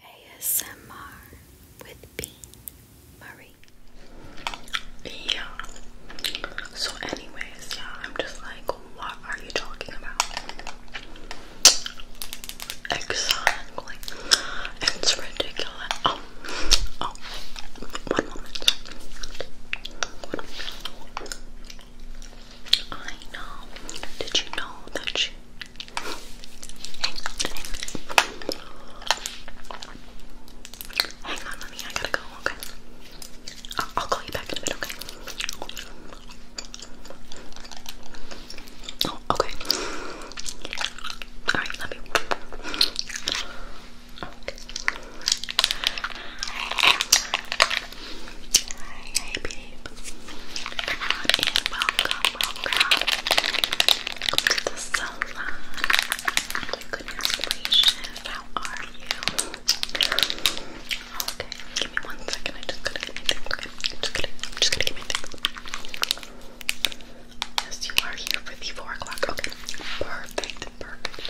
ASMR with Bean Yeah. So, anyways, yeah, I'm just like, what are you talking about? Exactly. It's ridiculous. Oh, oh, one moment. I know. Did you know that she Hang on, let I gotta go. Okay. I'll, call you back in a bit. Okay. Oh, okay. All right. Love you. Okay. Hi, babe. Come on in, welcome, welcome. Welcome to the salon. My goodness gracious, how are you? Okay, give me one second. I just gotta get my things. Okay, I'm just gonna, I'm just gonna get my things. Yes, you are here for the four o'clock. Okay, perfect, perfect.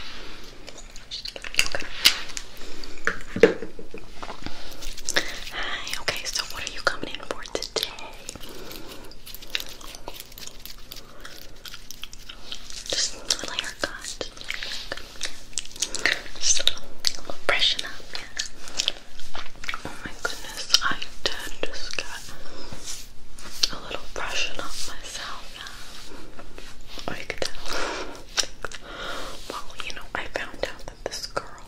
Okay. Hi. Okay, so what are you coming just a little haircut. Just a little freshen up, Oh my goodness, I did just get a little freshen up myself, Well, you know, I found out this girl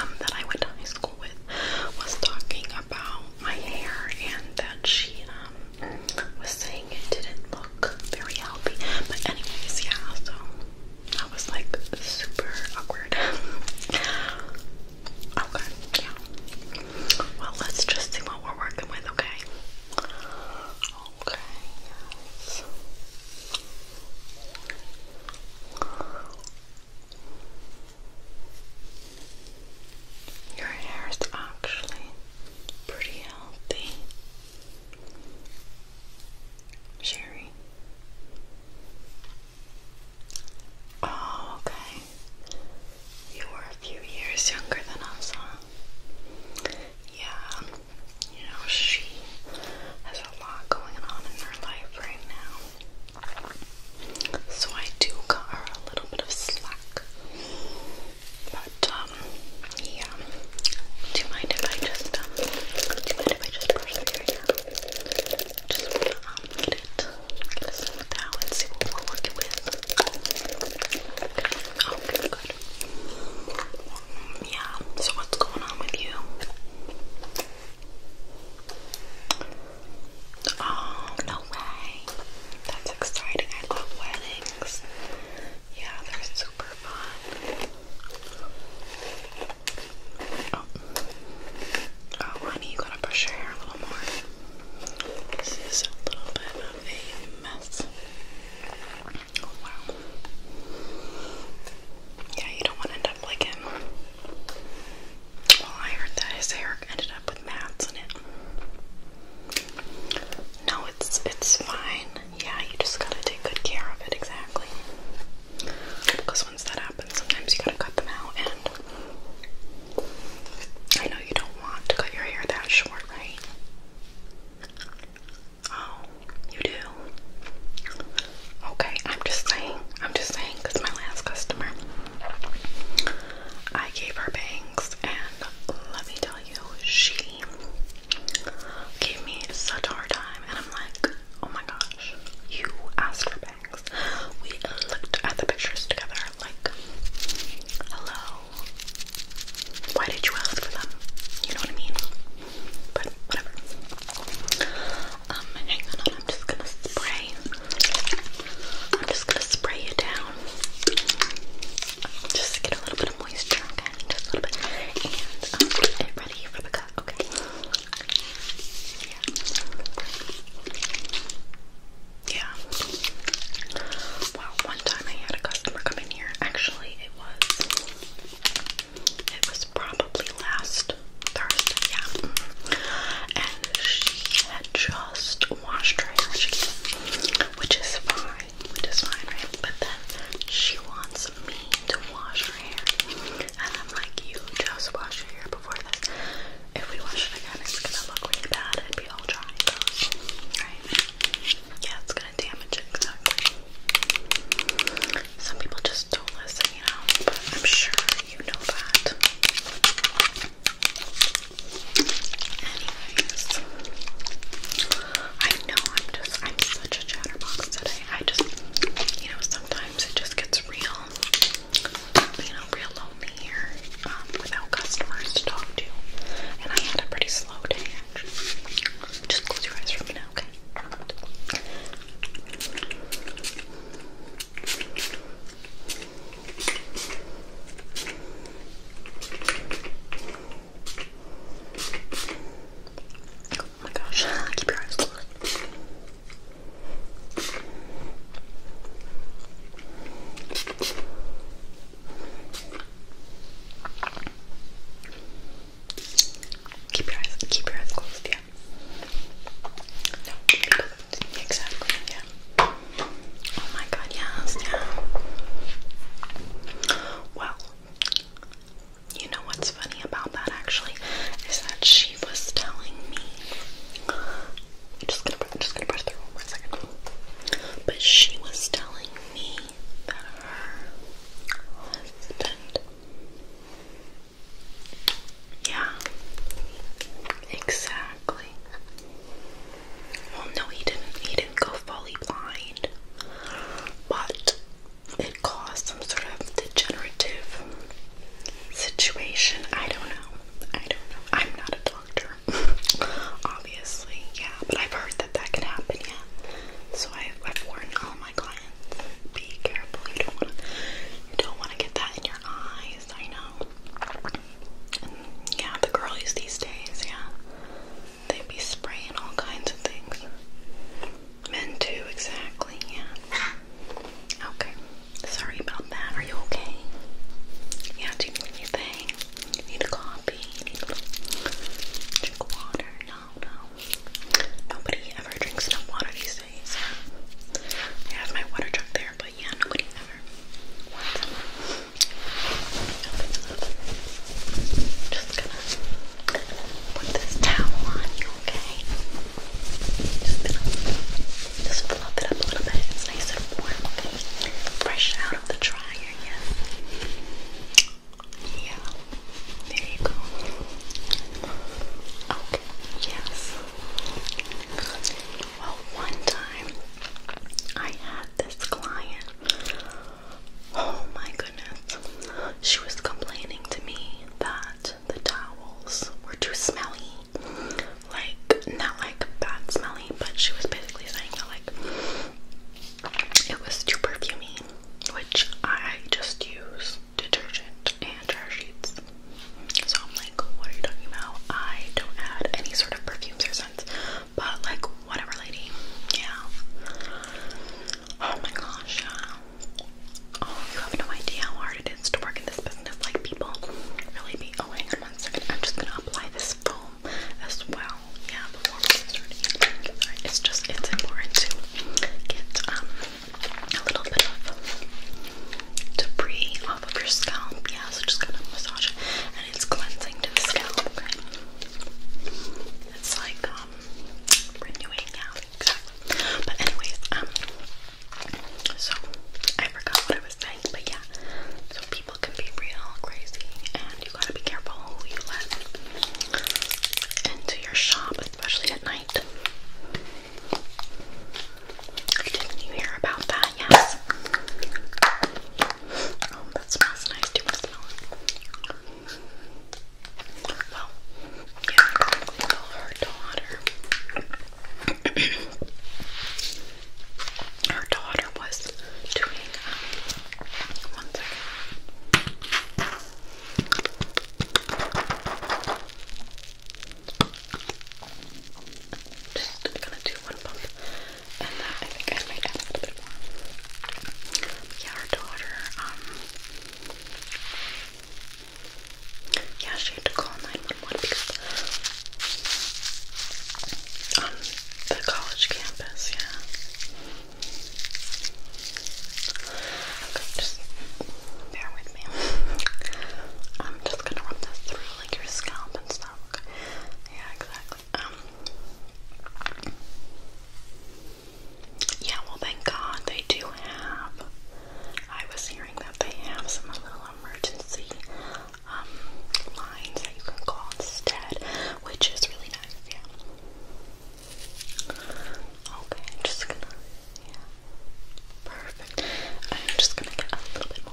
um, that I went to high school with was talking about my hair and that she um, was saying it didn't look very healthy. But anyways, yeah, so I was like super awkward. okay, Well, let's just see what we're working with, okay? Okay, yes. Your hair is actually pretty healthy. Sherry. Oh, okay. You were a few years younger than us, huh? yeah, you know, she has a lot going on in her life right now. So I do cut her a little bit of slack. But, um, yeah. Do you mind if I just, um, do you mind if I just brush through your Just um, get it, get it smoothed out and okay, good yeah, so what's going on with you? Oh, no way. That's exciting. I love weddings. Yeah, they're super fun. Oh, oh honey, you gotta brush your hair a little more. This is a little bit of a mess. Oh, yeah, you don't want to end up like him. Well, I heard that his hair ended up with mats in it. No, it's it's fine. Yeah, you just gotta take good care of it exactly. Because once that happens, sometimes you gotta cut them out, and I know you don't want to cut your hair that short, right? Oh, you do? Okay, I'm just saying. I'm just saying my last customer, I gave her bangs, and let me tell you, she gave me such a hard time, and I'm like, oh my gosh, you asked for bangs. We looked at the pictures together, like, hello. Why did you ask for them? You know what I mean? but whatever. Um, hang I'm just gonna spray. I'm just gonna spray it down. Just get a little bit of moisture, Just a little bit. And um, get ready for the cut, okay? Yeah. Wow, one time I had a customer come in here. Actually, it was it was probably last Thursday, yeah. And she had just washed her hair, which is fine, which is fine, right? But then she wants me to wash her hair, and I'm like, you just wash your hair before this. If we wash it again, it's gonna look really bad and be all dry, right? Yeah, it's gonna damage it Some people just don't listen, you know, but I'm sure you know that. Anyways, I know I'm just, I'm such a chatterbox today. I just, you know, sometimes it just gets real, you know, real lonely here um, without customers to talk to. And I had a pretty slow day just close your eyes for me now, okay? Oh my gosh, keep your eyes closed. Keep your eyes, keep your eyes closed, yeah. No, exactly, yeah. Oh my god, yes, yeah. Well, you know what's funny about that actually is that she was telling me. just gonna, just gonna brush through one more second. But she was telling me yeah, exactly. Well, no, he didn't. He didn't go fully blind, but it caused some sort of degenerative situation. I don't know. I don't know. I'm not a doctor. obviously, yeah, but I've heard that that can happen, yeah. So I, I've warned all my clients, be careful. You don't want to, you don't want to get that in your eyes. I know. And yeah, the girlies these days, yeah, they be spraying all kinds of things. Men too, exactly. Yeah. Okay. Sorry about that. Are you okay? Yeah. Do you need anything? You need a coffee, need a little drink water. No, no. Nobody ever drinks enough water these days. I have my water truck there, but yeah, nobody ever Just gonna put this towel on you, okay? Just gonna just fluff it up a little bit. It's nice and warm, okay? Fresh out of the dryer, yeah. Yeah, there you go. Okay, yes. Well, one time I had this client. Oh my goodness. She was complaining to me that the towels were too smelly. Like, not like bad smelly, but she was basically saying that, like, it was too perfumy, which I just use detergent and dryer sheets. So I'm like, what are you talking about? I don't add any sort of perfumes or scents, but like, whatever, lady. Yeah. Oh my gosh. Oh, you have no idea how hard it is to work in this business. Like, people really be. Oh, hang on one second. I'm just gonna apply this foam as well. Yeah, it's just it's important to get um a little bit of debris off of your scalp. Yeah, so just kind of massage it, and it's cleansing to the scalp. it's like um renewing. Yeah, But anyways, um, so I forgot what I was saying, but yeah, people can be real crazy, and you gotta be careful who you let into your shop, especially at night. Didn't you hear about that? Yes. Oh, that smells nice. Do you smell it? Well, her daughter. her daughter was doing um, one second. Just gonna do one pump, and that I think I might add a little bit more. Um, yeah, our daughter, yeah, she had to call 911 because um, the college campus, yeah. Okay, just bear with me. I'm just gonna rub this through like your scalp and stuff. Yeah, exactly. Um, yeah, well thank God they do have I was hearing that they have some little emergency um, lines that you can call instead, which is really nice, yeah. Okay, I'm just gonna, yeah, perfect. I'm just gonna get a little bit more,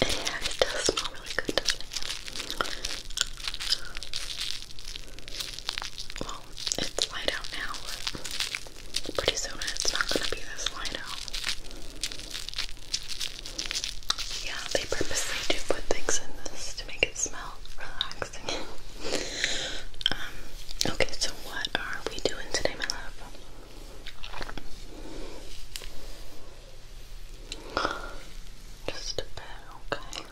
yeah, it does smell really good, doesn't it? Well, it's light out now, pretty soon it's not gonna be this light out. Yeah, they purposely do put things in this to make it smell relaxing. um, okay, so what are we doing today, my love? Just a bit, okay.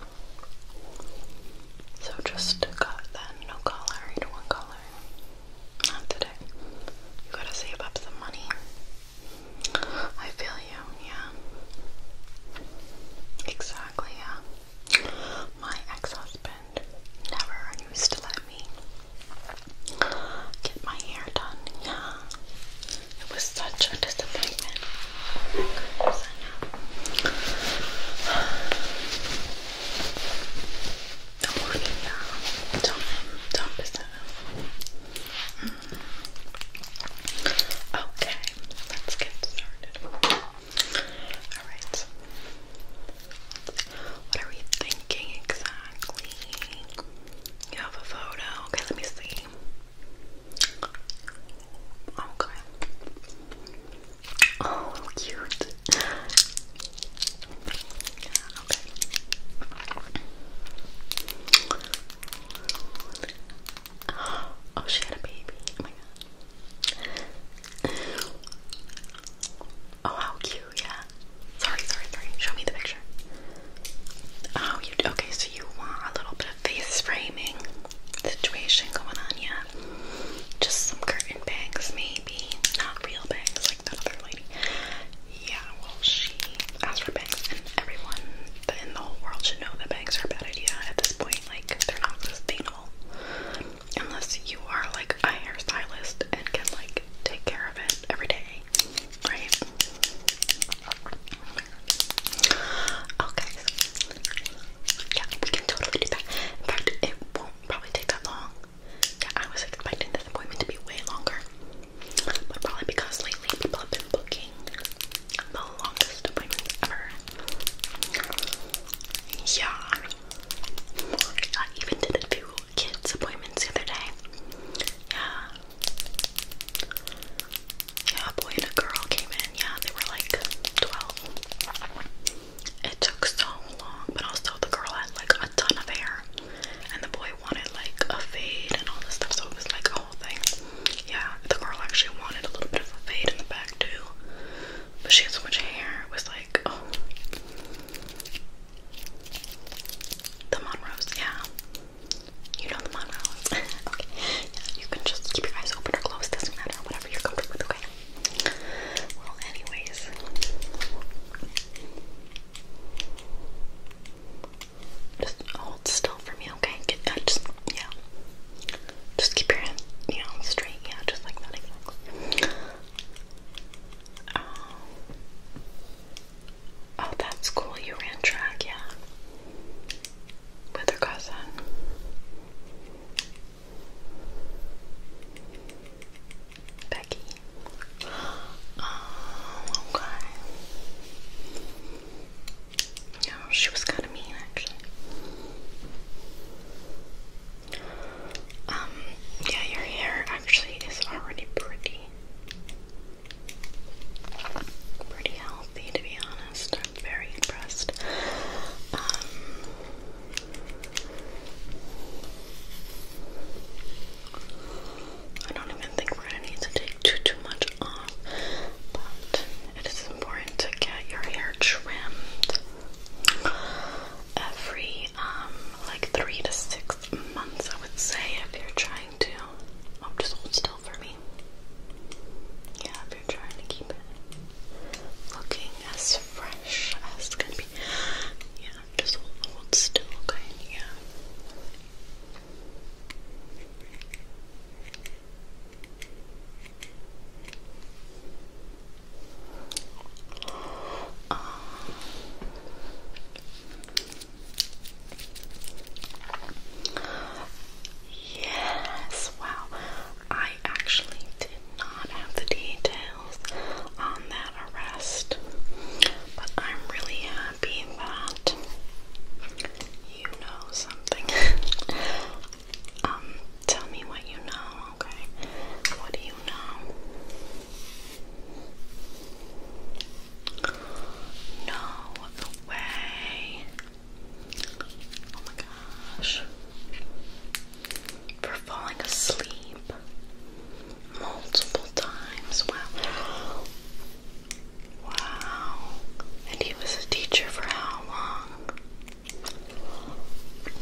So just cut that, no color, you do color. Not today. You gotta save up some money. I feel you, yeah. Exactly, yeah. My ex-husband never used to let me get my hair done, yeah. It was such a disappointment. Oh my goodness, I know. Okay, let's get started. Alright. What are we thinking exactly? You have a photo. Okay, let me see. Okay. Oh, cute. Okay. Oh, she had a baby. Oh my god. Oh, how cute, yeah. Sorry, sorry, sorry. Show me the picture. Oh, you okay? So you want a little bit of face framing situation going on, yeah? Just some curtain bangs, maybe. Not real bangs like that other lady. Yeah, well, she asked for bangs, and everyone in the whole world should know that bangs are a bad idea at this point. Like, they're not sustainable unless you are like a hairstylist and can like take care of it every day Okay. Yeah, we can totally do that. In fact, it won't probably take that long. Yeah, I was expecting this appointment to be way longer. But probably because lately people have been booking the longest appointments ever. Yeah. I even did a few kids' appointments the other day. Yeah. Yeah, a boy and a girl came in. Yeah, they were like 12. It took so long, but also the girl had like a ton of hair, and the boy wanted like a fade and all this stuff, so it was like a whole thing. Yeah, the girl actually wanted a little bit of a fade in the back too, but she had so much hair, it was like, oh. The Monroes, yeah. You know the Monroes. okay. Yeah, you can just keep your eyes open or closed, doesn't matter, whatever you're comfortable with, okay? Well, anyways. Just hold still for me, okay? Uh, just, yeah. Just keep your hand, you straight, yeah, just like that, Oh, that's cool. You ran track, yeah. With her cousin. Becky. Oh, okay. No, she was kind of mean, actually. Um, yeah, your hair actually is already pretty pretty healthy to be honest. I'm very impressed. Um, I don't even think we're gonna need to take too too much off, but it is important to get your hair trimmed every um, like three to six months, I would say, if you're trying to. Oh, just hold still for me. Yeah, if you're trying to keep it looking as fresh as it can be. Yeah, just hold, hold still, okay? Yeah. Um, Yes, wow. I actually did not have the details on that arrest, but I'm really happy that you know something. um, tell me what you know, okay? What do you know? No way. Oh my gosh. For falling asleep multiple times. Wow. Wow. And he was a teacher for how long?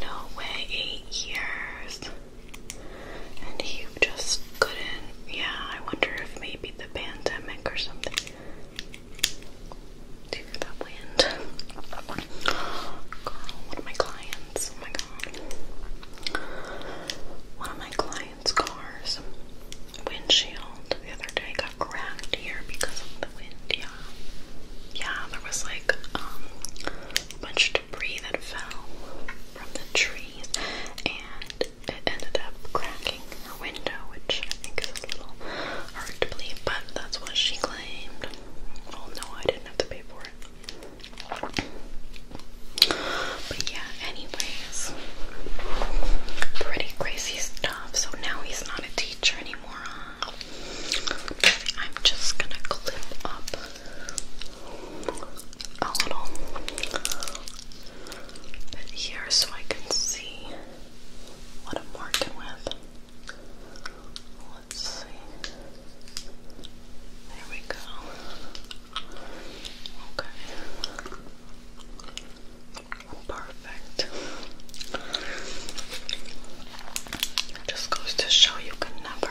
No way, eight years and he just couldn't. Yeah, I wonder if maybe the pandemic or something. Do you hear that wind? Girl, one of my clients. Oh my god. One of my clients' cars windshield the other day got cracked here because of the wind. Yeah, yeah. There was like um, Bunch of debris that fell from the trees and it ended up cracking her window, which I think is a little hard to believe, but that's what she claimed. Oh no, I didn't have to pay for it. But yeah, anyways, pretty crazy stuff. So now he's not a teacher anymore. I'm just gonna clip up a little bit here so I can see what I'm working with. Let's see. There we go. Okay. Perfect. just goes to show you can never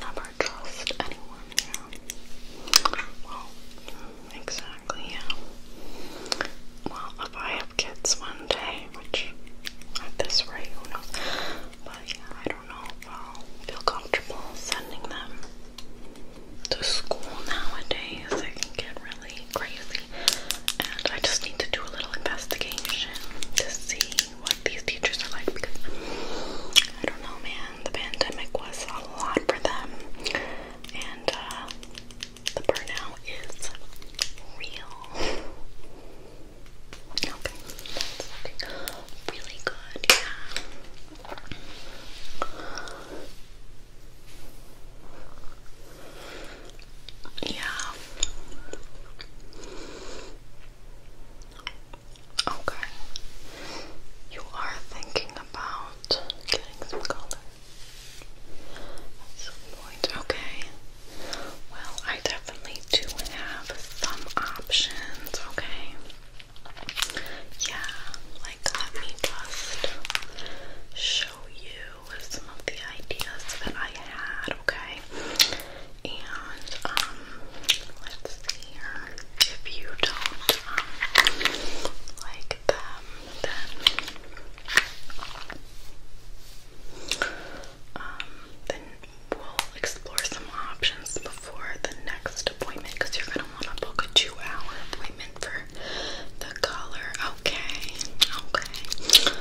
never trust anyone, yeah. Well, exactly, yeah. Well, if I have kids one day, which at this rate, who knows? But yeah, I don't know if I'll feel comfortable sending them to school nowadays. I can get really crazy. And I just need to do a little investigation to see what these teachers are like because I don't know, man. The pandemic was a lot for them, and uh, the burnout is real. Okay, that's looking really good, Yeah. Okay. You are thinking about getting some color at some point. Okay. Well, I definitely do have some options. Okay. Yeah. Like, let me just show you some of the ideas that I had. Okay. And um, let's see here. If you don't um, like them um, then we'll explore some options before the next appointment because you're gonna want to book a two-hour appointment for the color. Okay, okay.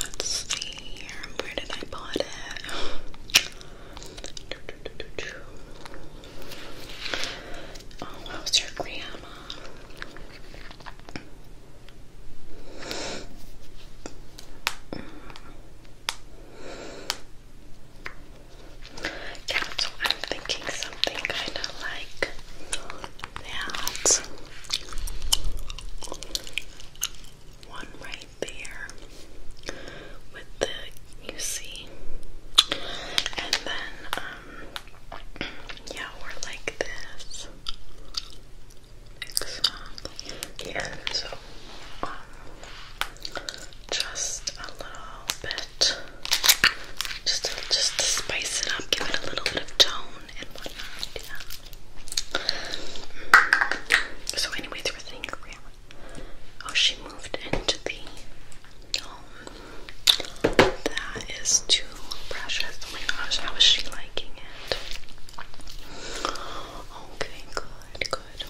let's see. Where did I put it? Oh, how's your grandma? Yeah, so I'm thinking something kind of like that one right there with the UC, and then um, yeah, or like this, exactly. Yeah, so um, just a little bit, just just to spice it up, give it a little bit of tone and Yeah. So anyway, they were thinking she moved into the That is too precious. Oh my gosh, how is she liking it? Okay, good, good.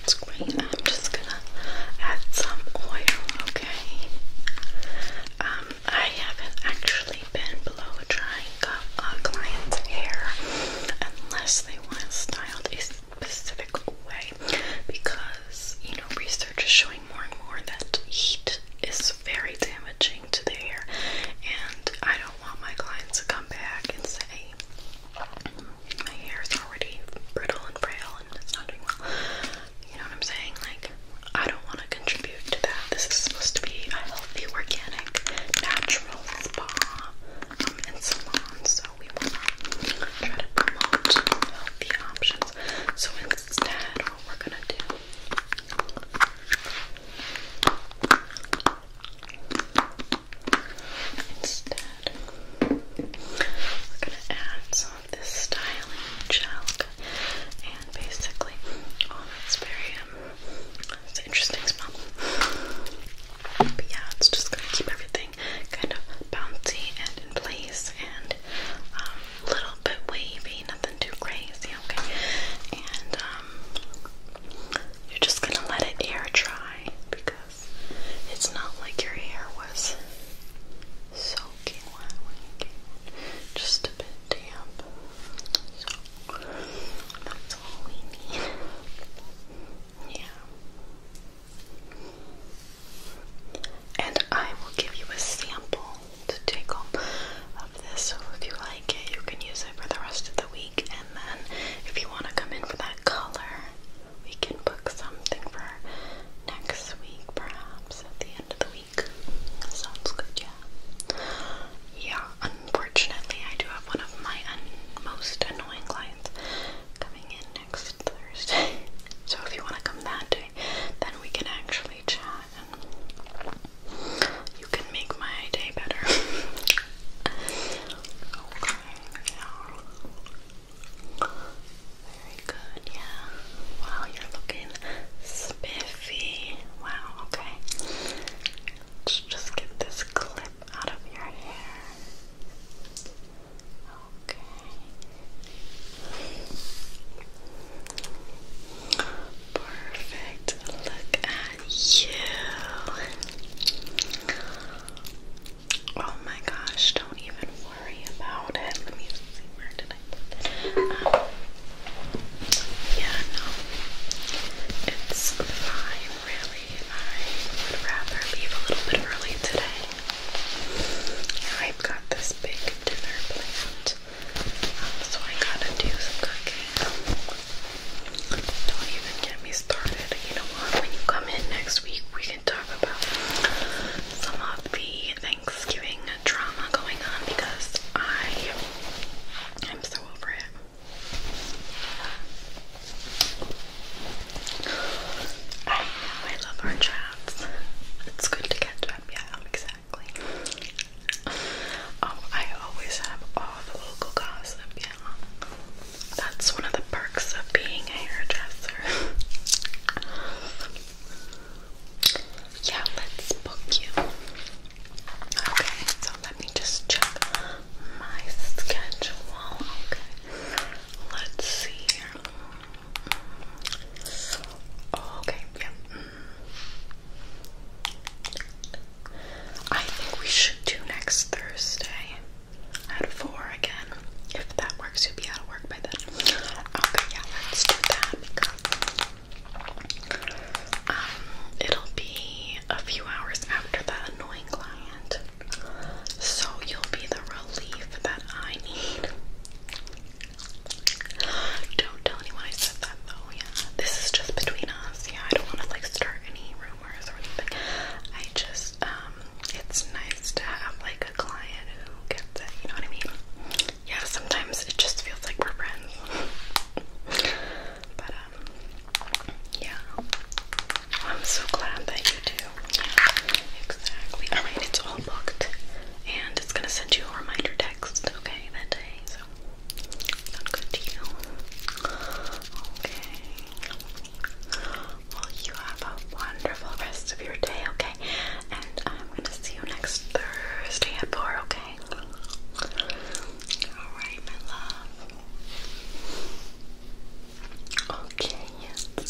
That's great. I'm just gonna add some oil, okay? Um, I haven't actually been blow drying a uh, client's hair unless they want styled a specific way because you know research is showing more and more that heat is very damaging to the hair and I don't want my clients to come back and say my hair is already brittle and frail and it's not doing well. You know what I'm saying? Like I don't want to contribute to that. This is supposed to be a healthy, organic, natural spa um, and salon, so we want to try to promote healthy options. So instead, what we're gonna do. Instead, we're gonna add some of this styling gel, and basically, oh, it's very um, it's an interesting smell. But yeah, it's just gonna keep everything kind of bouncy and in place and a um, little bit wavy, nothing too crazy, okay? And um, you're just gonna let it air dry because it's not like your hair was soaking wet when you came in. Just a bit damp. That's all we need. yeah. And I will give you a sample to take home of this. So if you like it, you can use it for the rest of the week. And then if you want to come in for that color, we can book something for next week, perhaps at the end of the week week. Sounds good, yeah. Yeah, unfortunately, I do have one of my most annoying clients coming in next Thursday. So if you want to come that day, then we can actually chat and you can make my day better. okay, yeah. Very good, yeah. Wow, you're looking spiffy. Wow, okay. Let's just get this clip out of your hair. Okay. Perfect. Look at you. Oh my gosh, don't even worry about it. Let me see where to um, yeah, no, it's fine, really. I would rather leave a little bit early today. I've got this big dinner planned, um, so I gotta do some cooking. Don't even get me started. You know what? When you come in next week, we can talk about some of the Thanksgiving drama going on because I I'm so over it. I know I love our chats. It's good to catch up, yeah, exactly. Oh, I always have all the local gossip, yeah. That's one of the perks of being a hairdresser. Yeah, let's book you. Okay, so let me just check my schedule. Okay, let's see here. okay, yeah. I think we should do next Thursday at 4 again. If that works, you'll be out of work by then. Okay, yeah, let's do that um, it'll be a few hours after that annoying client, so you'll be the relief that I need. Don't tell anyone I said that though, yeah. This is just between us, yeah. I don't want to like start any rumors or anything. I just, um, it's nice to have like a client who gets it, you know what I mean? yeah, sometimes it just feels like we're friends. but um, yeah, I'm so glad that you do. exactly. All right, it's all booked, and it's gonna send you a reminder text, okay, that day. So sound good to you? Okay. Well, you have a wonderful rest of your day, okay? And I'm gonna see you next Thursday at 4, okay? okay? Alright, my love. Okay, yes.